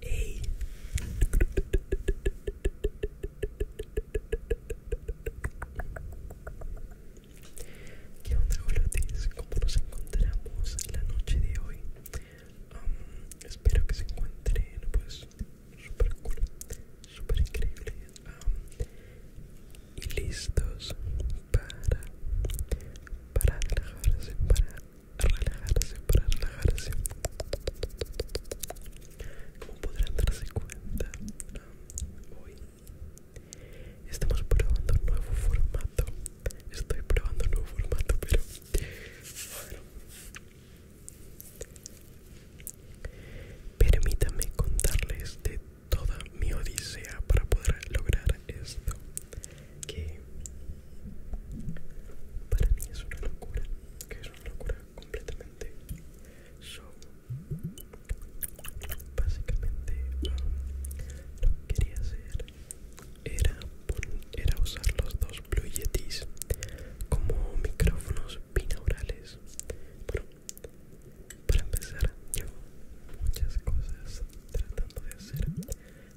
Hey. ¿Qué onda, golotes? ¿Cómo nos encontramos en la noche de hoy? espero que se encuentren, pues, super cool, super increíble y listos para, para relajarse, para relajarse, para relajarse. Como podrán darse cuenta, hoy estamos probando un nuevo formato. Estoy probando un nuevo formato, pero bueno. Permítame contarles de toda mi odisea para poder lograr esto que para mí es una locura, que es una locura completamente. Show básicamente lo que quería hacer era, era usar los dos Blue Yetis como micrófonos binaurales. Bueno, para empezar, llevo muchas cosas tratando de hacer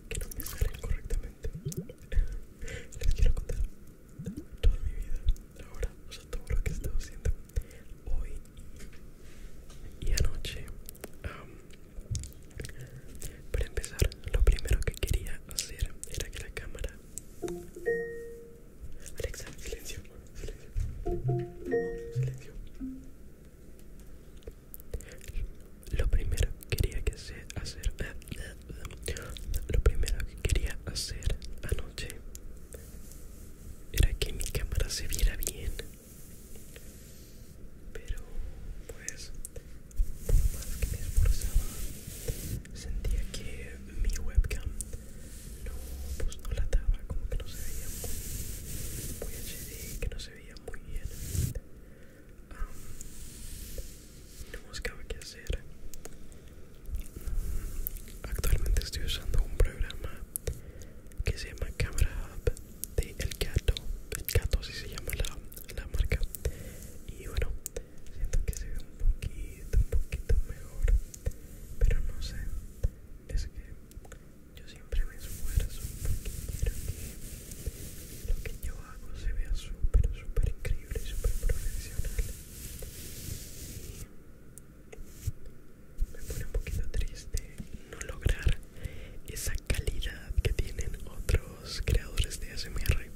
que no me salen correctamente. Les quiero contar toda mi vida ahora, o sea, todo lo que he estado haciendo hoy y anoche. para empezar, lo primero que quería hacer era que la cámara. Alexa, silencio, silencio, silencio. Lo primero que quería que se hacer eh, Lo primero que quería hacer anoche era que mi cámara se viera bien. Pero pues por más que me esforzaba sentía que mi webcam no pues no la daba como que no se veía muy, muy HD que no se veía muy bien um, buscaba qué hacer actualmente estoy usando un programa que se llama Camera Hub de El Gato El Gato si se llama la, la marca y bueno siento que se ve un poquito un poquito mejor pero no sé es que yo siempre me esfuerzo porque quiero que lo que yo hago se vea súper, súper increíble súper profesional. me pone un poquito triste no lograr esa calidad que tienen otros creadores de SMR.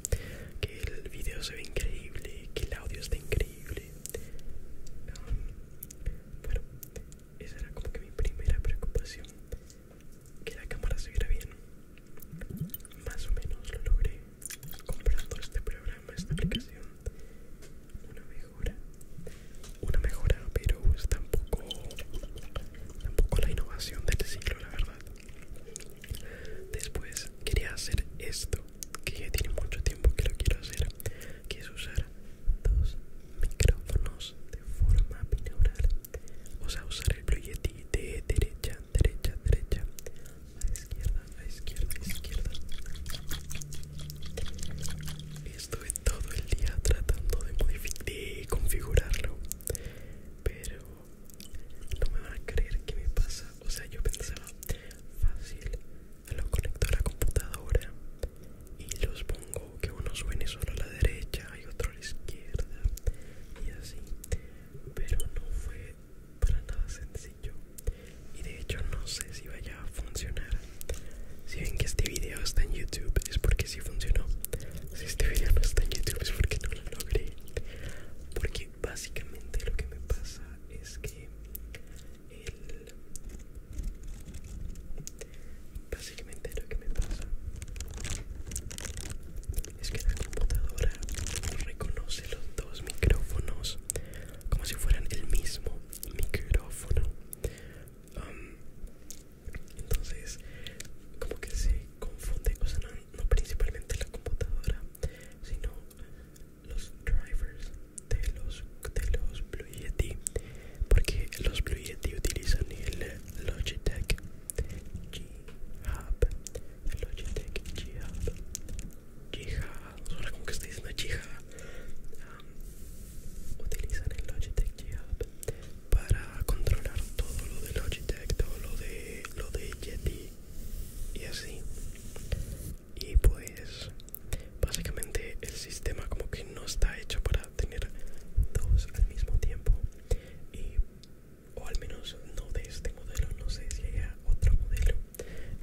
Que el video se ve increíble, que el audio está increíble. Um, bueno, esa era como que mi primera preocupación que la cámara se viera bien. Más o menos lo logré comprando este programa, esta aplicación. Una mejora, una mejora, pero es tampoco, tampoco la innovación del siglo, la verdad. Después quería hacer esto, que ya tiene mucho tiempo que lo quiero hacer, que es usar dos micrófonos de forma binaural o sea usar el Blue de derecha derecha derecha a izquierda a izquierda a izquierda estuve todo el día tratando de, de configurarlo pero no me van a creer que me pasa o sea yo pensaba fácil lo conecto a la computadora y los pongo que uno suene solo a la derecha y otro a la izquierda y así pero no fue para nada sencillo y de hecho no sé si vaya a funcionar si ven que este video está en youtube es porque sí funcionó si este video no está en youtube es porque no lo logré porque básicamente lo que me pasa es que el Básicamente lo que me pasa es que la computadora reconoce los dos micrófonos como si fueran el mismo micrófono. entonces, como que se confunde, o sea, no, principalmente la computadora, sino los drivers de los, de los Blue Yeti porque los Blue Yeti utilizan el Logitech G-Hub Logitech G-Hub G-Hub, ahora como que estoy diciendo G-Hub um, utilizan el Logitech G-Hub para controlar todo lo de Logitech, todo lo de, lo de Yeti y así y pues básicamente el sistema como que no está hecho para tener dos al mismo tiempo y o al menos no de este modelo no sé si haya otro modelo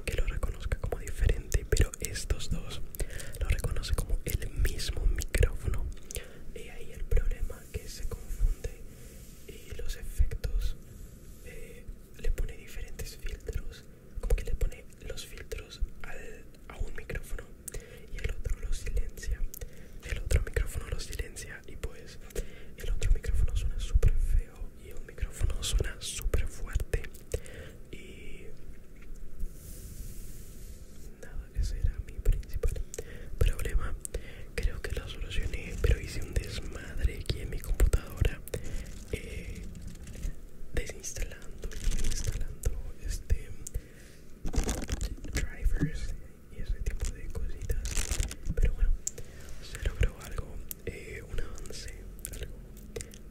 que lo reconozca como diferente pero estos dos lo reconoce como el mismo micrófono y ahí el problema que se confunde y los efectos eh, le pone diferentes filtros como que le pone los filtros a un micrófono y el otro lo silencia el otro micrófono lo silencia y pues el otro micrófono suena súper feo y el micrófono suena súper fuerte y nada que será mi principal problema creo que lo solucioné pero hice un desmadre aquí en mi computadora eh, desinstalando y instalando este drivers y ese tipo de cositas pero bueno se logró algo eh, un avance algo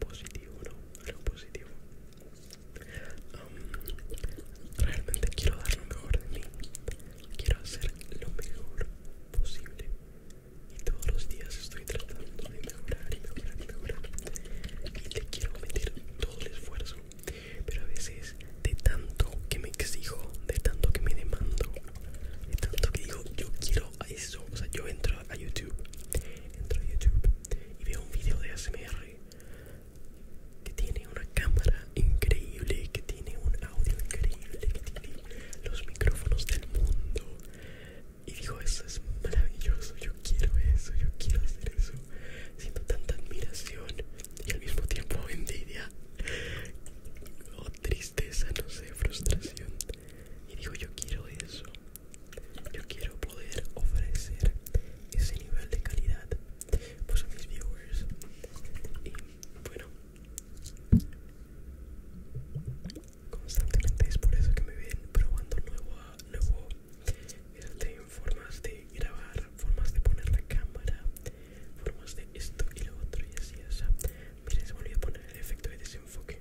positivo no algo positivo realmente quiero dar lo mejor de mí quiero hacer lo mejor posible y todos los días estoy tratando de mejorar y mejorar y Y le quiero meter todo el esfuerzo. Pero a veces, de tanto que me exijo, de tanto que me demando, de tanto que digo, yo quiero a eso. O sea, yo entro a YouTube, entro a YouTube y veo un video de ASMR que tiene una cámara increíble, que tiene un audio increíble, que tiene los micrófonos del mundo, y dijo, eso es maravilloso, yo quiero eso, yo quiero hacer eso. Siento tanta admiración y al mismo tiempo envidia o tristeza, no sé, frustración. Y dijo, yo quiero eso, yo quiero poder ofrecer ese nivel de calidad pues a mis viewers. Y bueno, constantemente es por eso que me ven probando nuevo, nuevo tienen formas de grabar, formas de poner la cámara, formas de esto y lo otro y así, o sea, se me olvidó poner el efecto de desenfoque,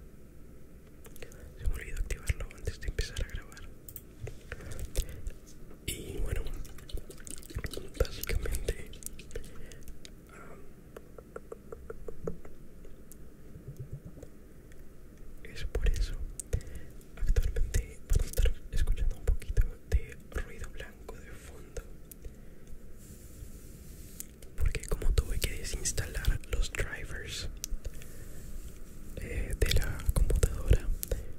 se me olvidó activarlo antes de empezar a grabar. Y bueno, básicamente... Ah, es por eso actualmente van a estar escuchando un poquito de ruido blanco de fondo porque como tuve que desinstalar los drivers eh, de la computadora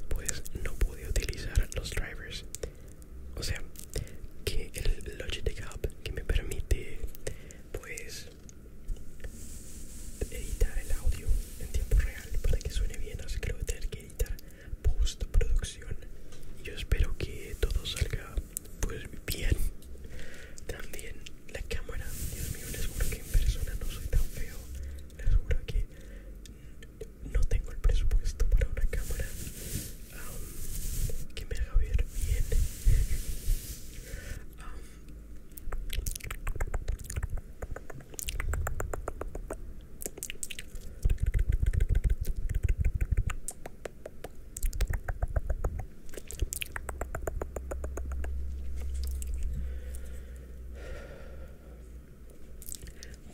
pues no pude utilizar los drivers o sea que el Logitech Hub que me permite pues editar el audio en tiempo real para que suene bien, así que lo voy a tener que editar postproducción. Y yo espero que todo salga pues bien. También la cámara, Dios mío, les juro que en persona no soy tan feo. Les juro que no tengo el presupuesto para una cámara um, que me haga ver bien. Um,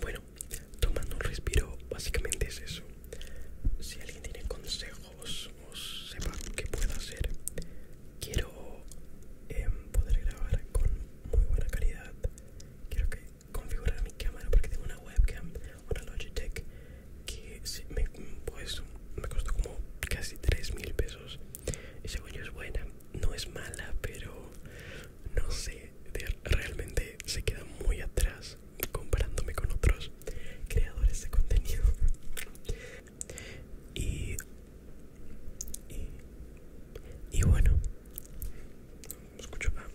bueno, tomando un respiro, básicamente es eso. Si alguien tiene consejos os sepa qué puedo hacer quiero em, poder grabar con muy buena calidad quiero configurar mi cámara porque tengo una webcam una Logitech que pues, me, costó como casi 3 mil pesos y según yo es buena no es mala pero no sé realmente se queda muy atrás comparándome con otros creadores de contenido y, y, bueno, no escucho nada,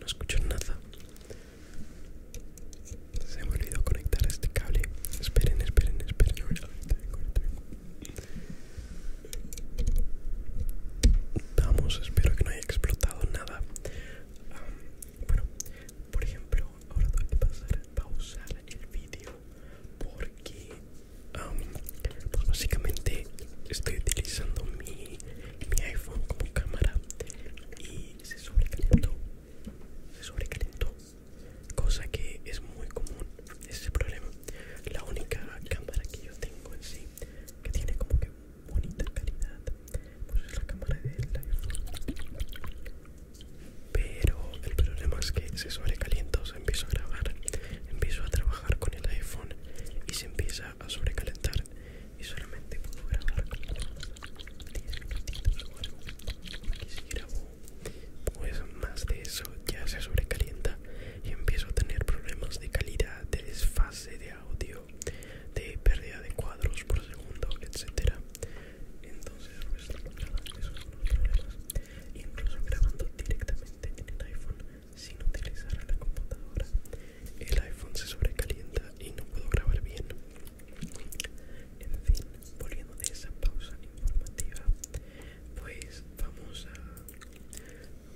no escucho nada. Se me olvidó conectar este cable. Esperen, esperen, esperen. Vamos, espero que no haya explotado nada. Ah, bueno, por ejemplo, ahora tengo que pasar a pausar el vídeo porque pues básicamente estoy utilizando mi, mi iPhone como cámara y se sobrecalentó. Se sobrecalentó. Cosa que es muy común, ese problema. La única cámara que yo tengo en sí, que tiene como que bonita calidad, pues es la cámara del pero el problema es que se sobrecalienta o se empieza a grabar empiezo a trabajar con el iphone y se empieza a sobrecalentar y solamente puedo grabar 10 minutitos o algo y pues más de eso ya se sobrecalienta y empiezo a tener problemas de calidad de desfase de audio de pérdida de cuadros por segundo, etcétera. Entonces, esos son los problemas. Incluso grabando directamente en el iPhone sin utilizar la computadora, el iPhone se sobrecalienta y no puedo grabar bien. En fin, volviendo de esa pausa informativa, pues vamos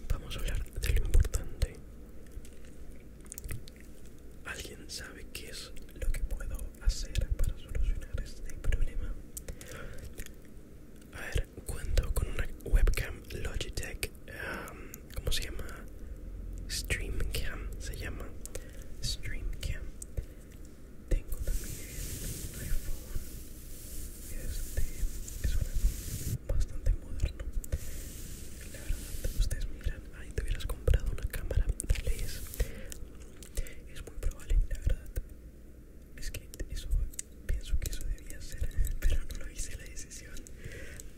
vamos a hablar de lo importante ¿Alguien sabe qué es lo que puedo hacer para solucionar este problema? A ver, cuento con una webcam Logitech, um, ¿cómo se llama? Streamcam, se llama Streamcam. Tengo también un iPhone, este es un iPhone bastante moderno. La verdad, ustedes miran Ay, te hubieras comprado una cámara tal vez es muy probable la verdad es que eso pienso que eso debía ser pero no lo hice la decisión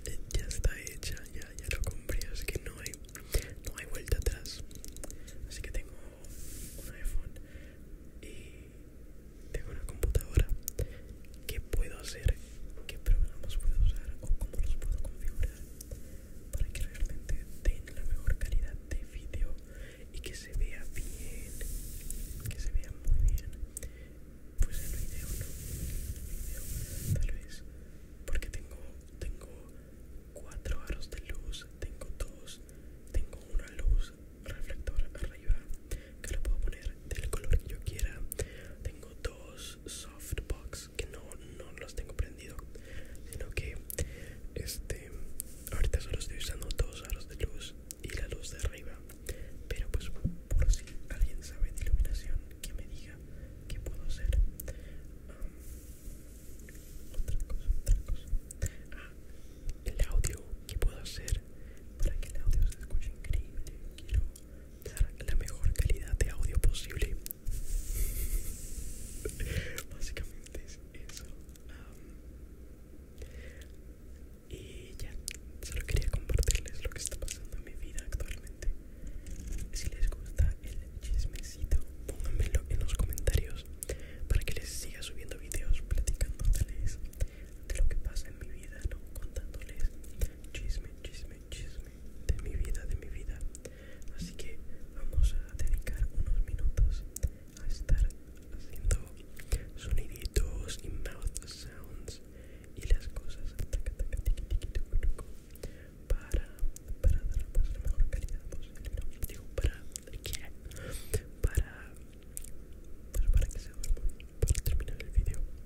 eh, ya está hecha ya lo compré así que no hay vuelta atrás así que tengo un iPhone y tengo una computadora ¿Qué puedo hacer? ¿Qué programas puedo usar? ¿O cómo los puedo configurar? para que realmente tenga la mejor calidad de vídeo y que se vea bien que se vea muy bien pues el vídeo no el vídeo tal vez porque tengo tengo cuatro aros de luz tengo dos tengo una luz reflector arriba que la puedo poner del color que yo quiera tengo dos softbox que no, los tengo prendido sino que este ahorita solo estoy usando dos aros de luz y la luz de arriba pero pues por si alguien sabe de iluminación que me diga que puedo hacer otra cosa otra cosa ah, el audio que puedo hacer para que el audio se escuche increíble dar la mejor calidad de audio posible básicamente es eso y ya solo quería compartirles lo que está pasando en mi vida actualmente si les gusta el chismecito pónganmelo en los comentarios para que les siga subiendo videos platicándoles de lo que pasa en mi vida contándoles chisme chisme chisme de mi vida, de mi vida. Así que vamos a dedicar unos minutos a estar haciendo soniditos y mouth sounds y las cosas para, para dar la mejor calidad posible. No, digo, para, que para, pues, para, que se para terminar el video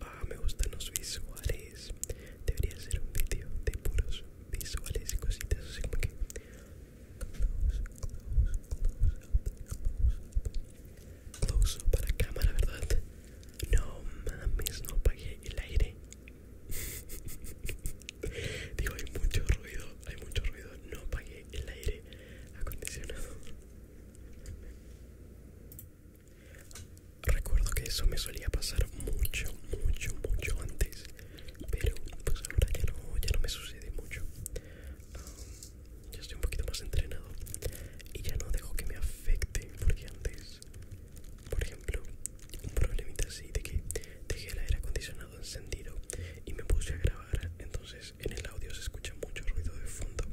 Ah, me gustan los visuales. Debería ser un vídeo de puros visuales y cositas así como que close, up, close up para cámara, ¿verdad? No mames, no apagué el aire. Digo, hay mucho ruido, hay mucho ruido. No apagué el aire acondicionado. Recuerdo que eso me solía pasar mucho, mucho, mucho antes pero pues ahora ya no, ya no me sucede mucho. Ah, ya estoy un poquito más entrenado y ya no dejo que me afecte porque antes, por ejemplo, un problemita así de que dejé el aire acondicionado encendido y me puse a grabar, entonces en el audio se escucha mucho ruido de fondo.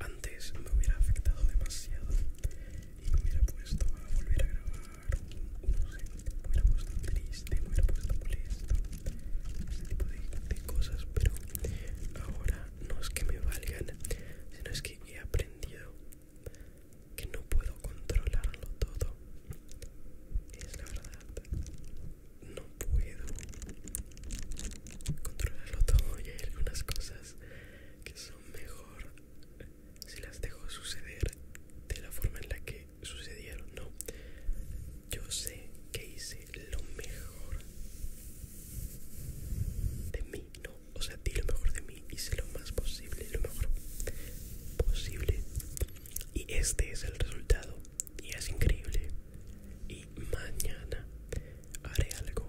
Antes me hubiera afectado demasiado y me hubiera puesto a volver a grabar no sé, hubiera puesto triste, hubiera puesto molesto, ese tipo de cosas, pero ahora no es que me valgan, sino es que he aprendido que no puedo controlarlo todo. Es la verdad. No puedo controlarlo todo y hay algunas cosas que son mejor ¿Se las dejo suceder de la forma en la que sucedieron, no. Yo sé que hice lo mejor de mí, no. O sea, di lo mejor de mí, hice lo más posible, lo mejor posible. Y este es el resultado. Y es increíble. Y mañana haré algo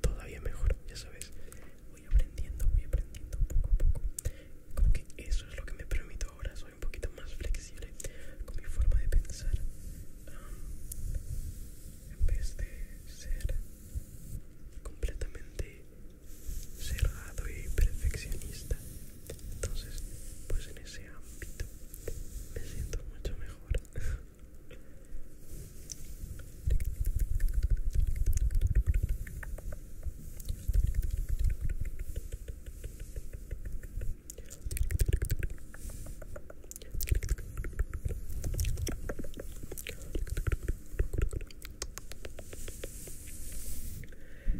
todavía mejor, ya sabes. Voy aprendiendo, voy aprendiendo poco a poco como que eso es lo que me permito ahora soy un poquito más flexible con mi forma de pensar um, en vez de ser completamente cerrado y perfeccionista entonces pues en ese ámbito me siento mucho mejor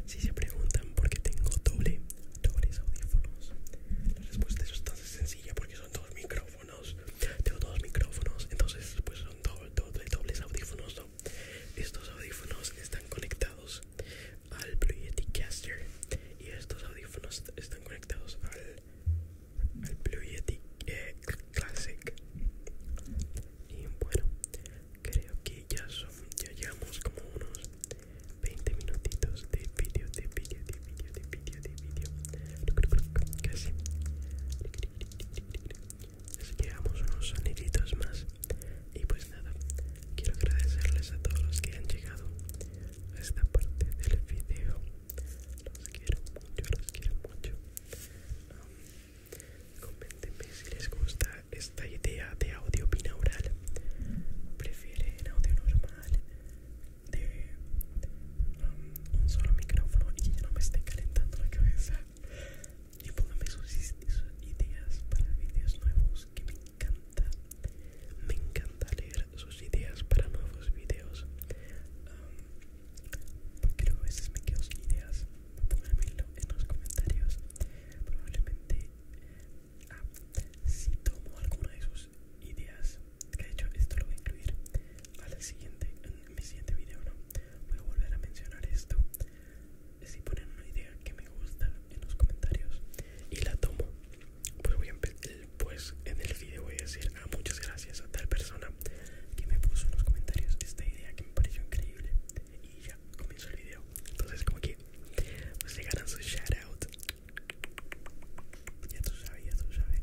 Si se preguntan por qué tengo doble, dobles audífonos, la respuesta es bastante sencilla porque son dos micrófonos. Tengo dos micrófonos, entonces pues son doble, doble, dobles audífonos, estos audífonos están conectados al Blue Yeti Caster y estos audífonos están conectados al, Blue Yeti eh, Classic y bueno creo que ya son ya llevamos como unos 20 minutitos de vídeo de vídeo de vídeo de vídeo de vídeo casi llegamos unos soniditos más y pues nada quiero agradecerles a todos los que han llegado a esta parte del video los quiero mucho los quiero mucho um, comentenme si les gusta esta idea de audio binaural prefieren audio normal de um, un solo micrófono y ya no me esté calentando la cabeza y pónganme sus, ideas para videos nuevos que me encanta me encanta leer sus ideas para nuevos videos porque a veces me quedo sin ideas pónganmelo en los comentarios probablemente ah, si tomo alguna de sus ideas que de hecho esto lo voy a incluir al siguiente, en mi siguiente video voy a volver a mencionar esto si ponen una idea que me gusta en los comentarios y la tomo pues voy a pues en el video voy a decir ah, muchas gracias a tal persona que me puso en los comentarios esta idea que me pareció increíble y ya comienzo el video entonces como que pues, se ganan su ya tú sabes ya tú sabes